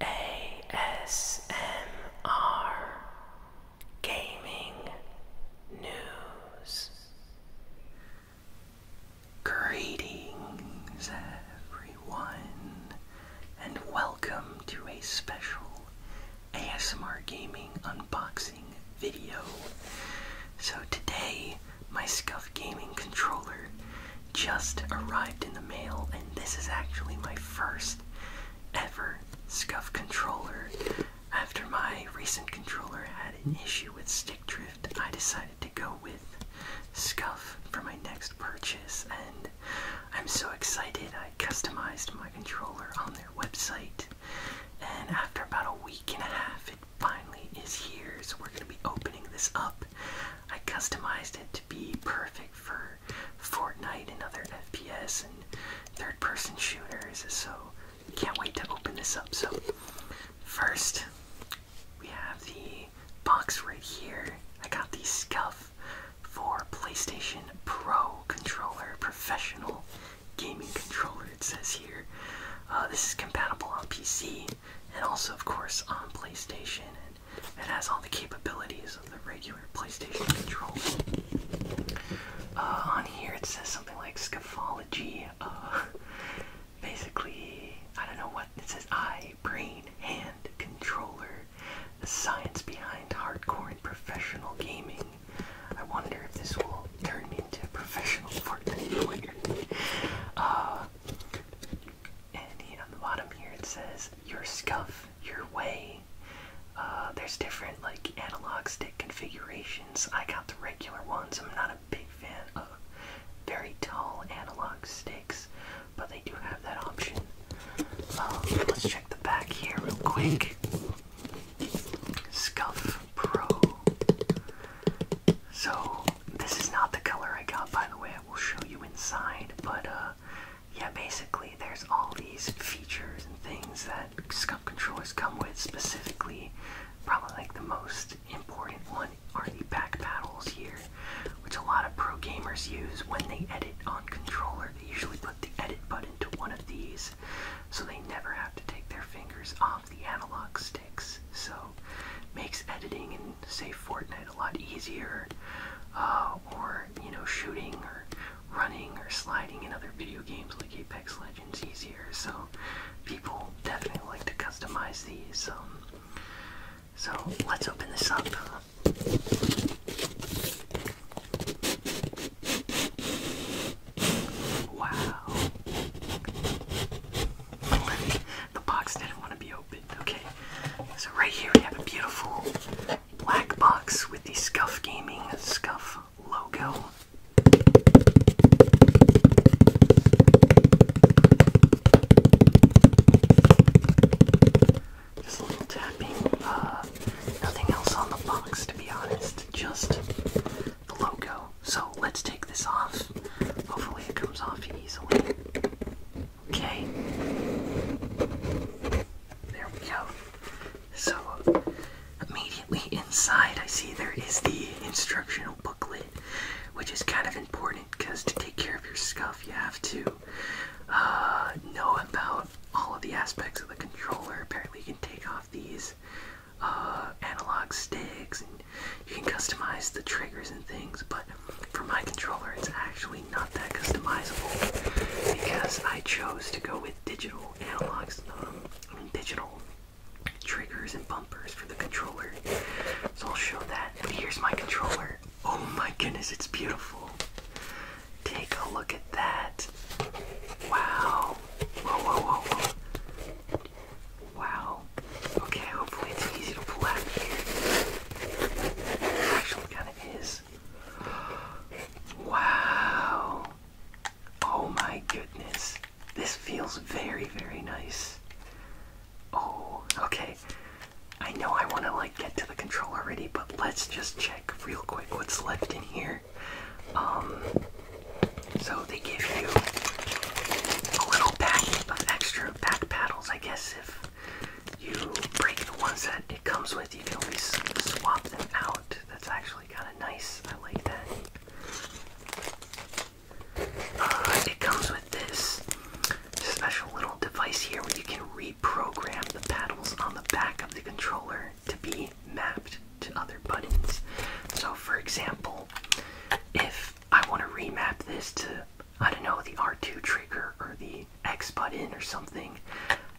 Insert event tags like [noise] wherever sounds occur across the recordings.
ASMR Gaming News. Greetings, everyone, and welcome to a special ASMR Gaming unboxing video. So, today, my Scuff Gaming controller just arrived in the mail, and this is actually my first ever scuff controller. After my recent controller had an issue with stick drift, I decided to go with scuff for my next purchase, and I'm so excited. I customized my controller on their website, and after about a week and a half, it finally is here. So we're going to be opening this up I customized it to be perfect for Fortnite and other FPS and third person shooters, so can't wait to open this up. So, first, we have the box right here. I got the scuff for PlayStation Pro Controller Professional Gaming Controller, it says here. Uh, this is compatible on PC, and also of course on PlayStation it has all the capabilities of the regular PlayStation controller. Uh, on here it says something like scafology. Uh, [laughs] basically, I don't know what it says eye, brain, hand, controller, the science behind hardcore professional gaming. I wonder if this will turn into professional [laughs] Fortnite and on the bottom here it says your scuff, your way. Uh, there's different like analog stick configurations. I got the regular ones. I'm not a big fan of very tall analog sticks, but they do have that option. Um, let's check the back here real quick. Scuff Pro. So this is not the color I got, by the way. I will show you inside, but uh, yeah, basically there's all these features and things that scum controllers come with. Specifically, probably like the most important one are the back paddles here, which a lot of pro gamers use when they edit on controller. They usually put the edit button to one of these, so they never have to take their fingers off the analog stick. So makes editing in say Fortnite a lot easier. Uh, or you know shooting or running or sliding in other video games like Apex Legends easier. So people definitely like to customize these. Um, so let's open this up. Wow. [laughs] the box didn't want to be opened. Okay, so right here we have a beautiful black box with the Scuff Gaming Scuff logo. Just a little tapping. Uh, nothing else on the box, to be honest. Just the logo. So let's take this off. Hopefully, it comes off easily. Okay. There we go. So, immediately inside, I see there is the instructional booklet, which is kind of important because to take care of your scuff, you have to uh, know about all of the aspects of the controller. Apparently, you can take off these uh, analog sticks, and you can customize the triggers and things. But for my controller, it's actually not that customizable because I chose to go with digital analogs, um, digital triggers and bumpers for the controller. So I'll show that. But here's my controller. Oh my goodness, it's beautiful. Take a look at that. Wow. whoa, whoa, whoa. Wow. Okay, hopefully it's easy to pull out here. Actually, kind of is. Wow. Oh my goodness. This feels very, very nice. Oh, okay. I know I want to like get to the control already, but let's just check real quick what's left in here. Um, so they give you a little pack of uh, extra back paddles. I guess if you break the ones that it comes with, you can always swap them out. That's actually kind of nice. I like that. Uh, it comes with this special little device here where you can reprogram the paddles on the back of the controller to be mapped to other buttons. So, for example, if I want to remap this to, I don't know, the R2 trigger or the X button or something,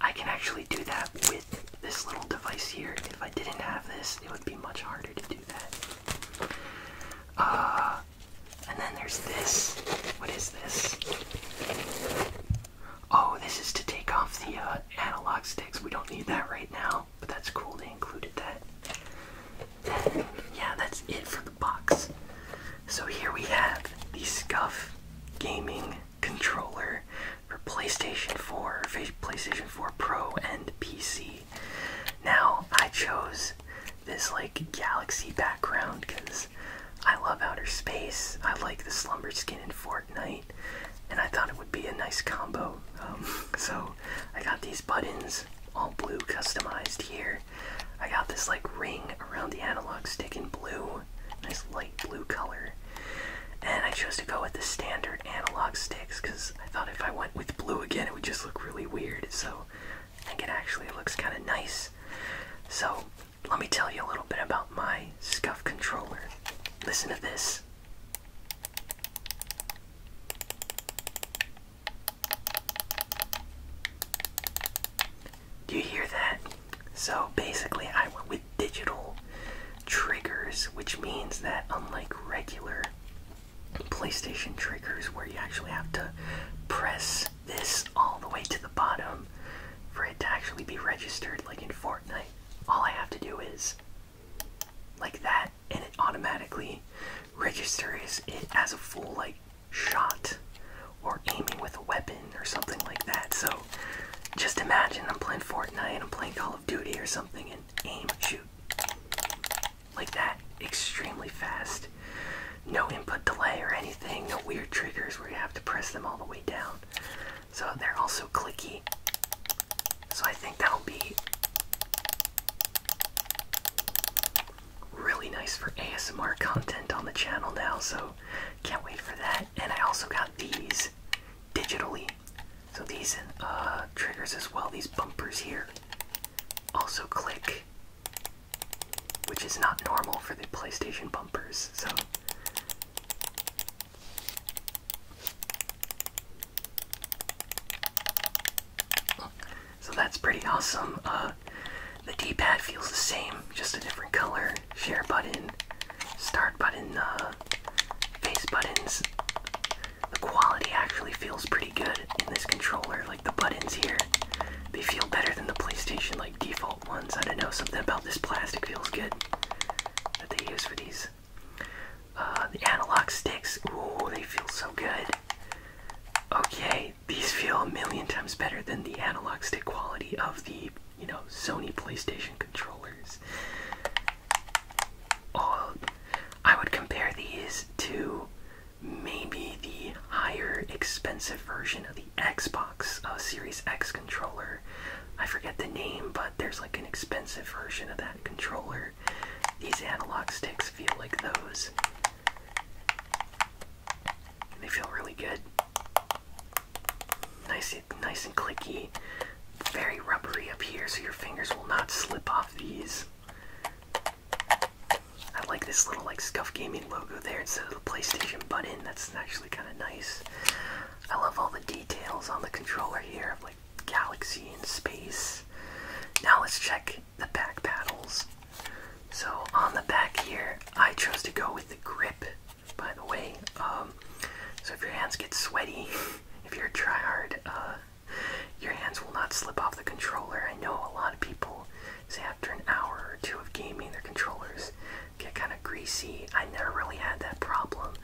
I can actually do that with this little device here. If I didn't have this, it would be much harder to do that. Uh, and then there's this. What is this? Oh, this is to take off the uh, analog sticks. We don't need that right now, but that's cool they included that. yeah, that's it for the box. So here we have the Scuff Gaming Controller for PlayStation 4, PlayStation 4 Pro, and PC. Now, I chose this like galaxy background because I love outer space. I like the slumber skin in Fortnite. And I thought it would be a nice combo. Um, so I got these buttons, all blue, customized here. I got this like ring around the analog stick in blue, nice light blue color. And I chose to go with the standard analog sticks because I thought if I went with blue again, it would just look really weird. So I think it actually looks kind of nice. So let me tell you a little bit about my scuff controller. Listen to this. Do you hear that? So basically, I went with digital triggers, which means that unlike regular PlayStation triggers, where you actually have to press this all the way to the bottom for it to actually be registered, like in Fortnite, all I have to do is like that, and it automatically registers it as a full like shot or aiming with a weapon or something like that. So just imagine I'm playing Fortnite, I'm playing Call of Duty or something, and aim, shoot like that. Extremely fast. No input delay or anything, no weird triggers where you have to press them all the way down. So they're also clicky. So I think that'll be really nice for ASMR content on the channel now. So can't wait for that. And I also got these digitally. So these uh, triggers as well, these bumpers here also click, which is not normal for the PlayStation bumpers. So so that's pretty awesome. Uh, the D-pad feels the same, just a different color. Share button, start button, uh, face buttons. The quality actually feels pretty good in this controller. Like the buttons here, they feel better than the PlayStation. Like default ones. I don't know, something about this plastic feels good that they use for these. Uh, the analog sticks, ooh, they feel so good. Okay, these feel a million times better than the analog stick quality of the, you know, Sony PlayStation controllers. Oh, I would compare these to maybe the higher expensive version of Xbox uh, Series X controller. I forget the name, but there's like an expensive version of that controller. These analog sticks feel like those. They feel really good. Nice nice and clicky. Very rubbery up here, so your fingers will not slip off these. I like this little like scuff gaming logo there instead of the PlayStation button. That's actually kind of nice. I love all the details on the controller here of like galaxy and space. Now let's check the back paddles. So on the back here, I chose to go with the grip. By the way, um, so if your hands get sweaty, [laughs] if you're a tryhard, uh, your hands will not slip off the controller. I know a lot of people say after an hour or two of gaming, their controllers get kind of greasy. I never really had that problem,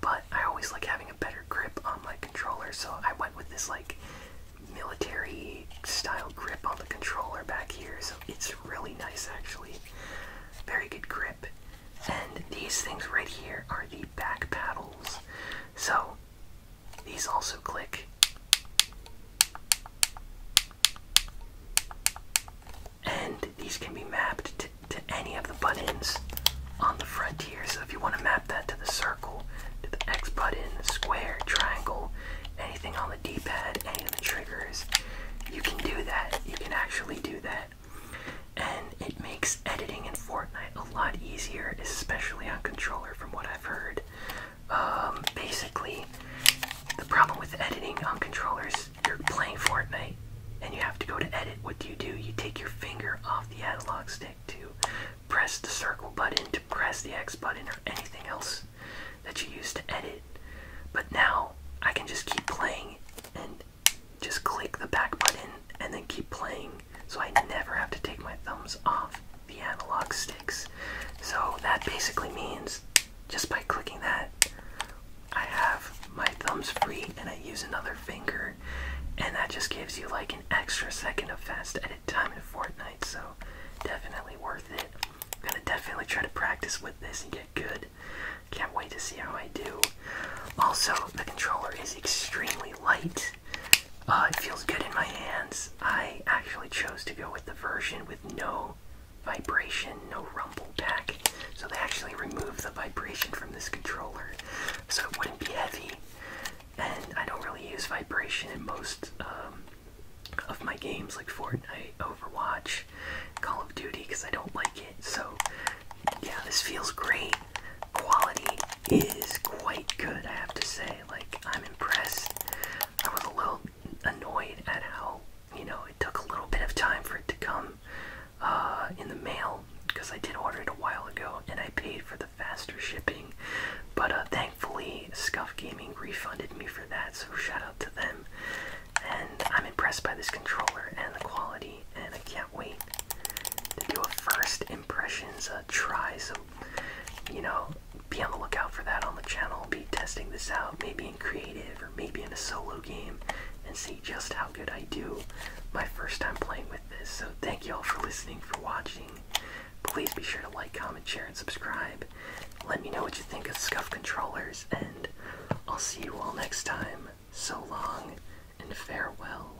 but I always like having a better grip on my controller, so I went with this like military style grip on the controller back here. So it's really nice actually. Very good grip. And these things right here are the back paddles. So these also click and these can be mapped to, any of the buttons on the front here. So if you want to map that to the circle, to the X button, the square, triangle, anything on the D-pad, any of the triggers, you can do that. You can actually do that. And it makes editing in Fortnite a lot easier, especially on controller from what I've heard. Um, basically, the problem with editing on controllers, you're playing Fortnite and you have to go to edit. What do you do? You take your finger off the analog stick to press the circle button, to press the X button, or anything else that you use to edit. But now I can just keep playing and just click the back button and then keep playing so I never have to take my thumbs off the analog sticks. So that basically means just by clicking that, I have my thumbs free and I use another finger, and that just gives you like an extra second of fast edit time in Fortnite. So definitely worth it. gonna definitely try to practice with this and get good. Can't wait to see how I do. Also, the controller is extremely light. Uh, it feels good in my hands. I actually chose to go with the version with no vibration, no rumble pack. So they actually removed the vibration from this controller so it wouldn't be heavy. And I don't really use vibration in most um, of my games like Fortnite, Overwatch, Call of Duty because I don't like it. So yeah, this feels great. Quality is quite good, I have to say. Like, I'm impressed. I was a little annoyed at how, you know, it took a little bit of time for it to come uh, in the mail because I did order it a while ago and I paid for the faster shipping. But uh, thankfully, Scuff Gaming refunded me for that, so shout out to them. And I'm impressed by this controller and the quality, and I can't wait to do a first impressions uh, try. So you know, be on the lookout for that on the channel. Be testing this out, maybe in creative or maybe in a solo game, and see just how good I do my first time playing with this. So, thank you all for listening, for watching. Please be sure to like, comment, share, and subscribe. Let me know what you think of Scuff controllers, and I'll see you all next time. So long and farewell.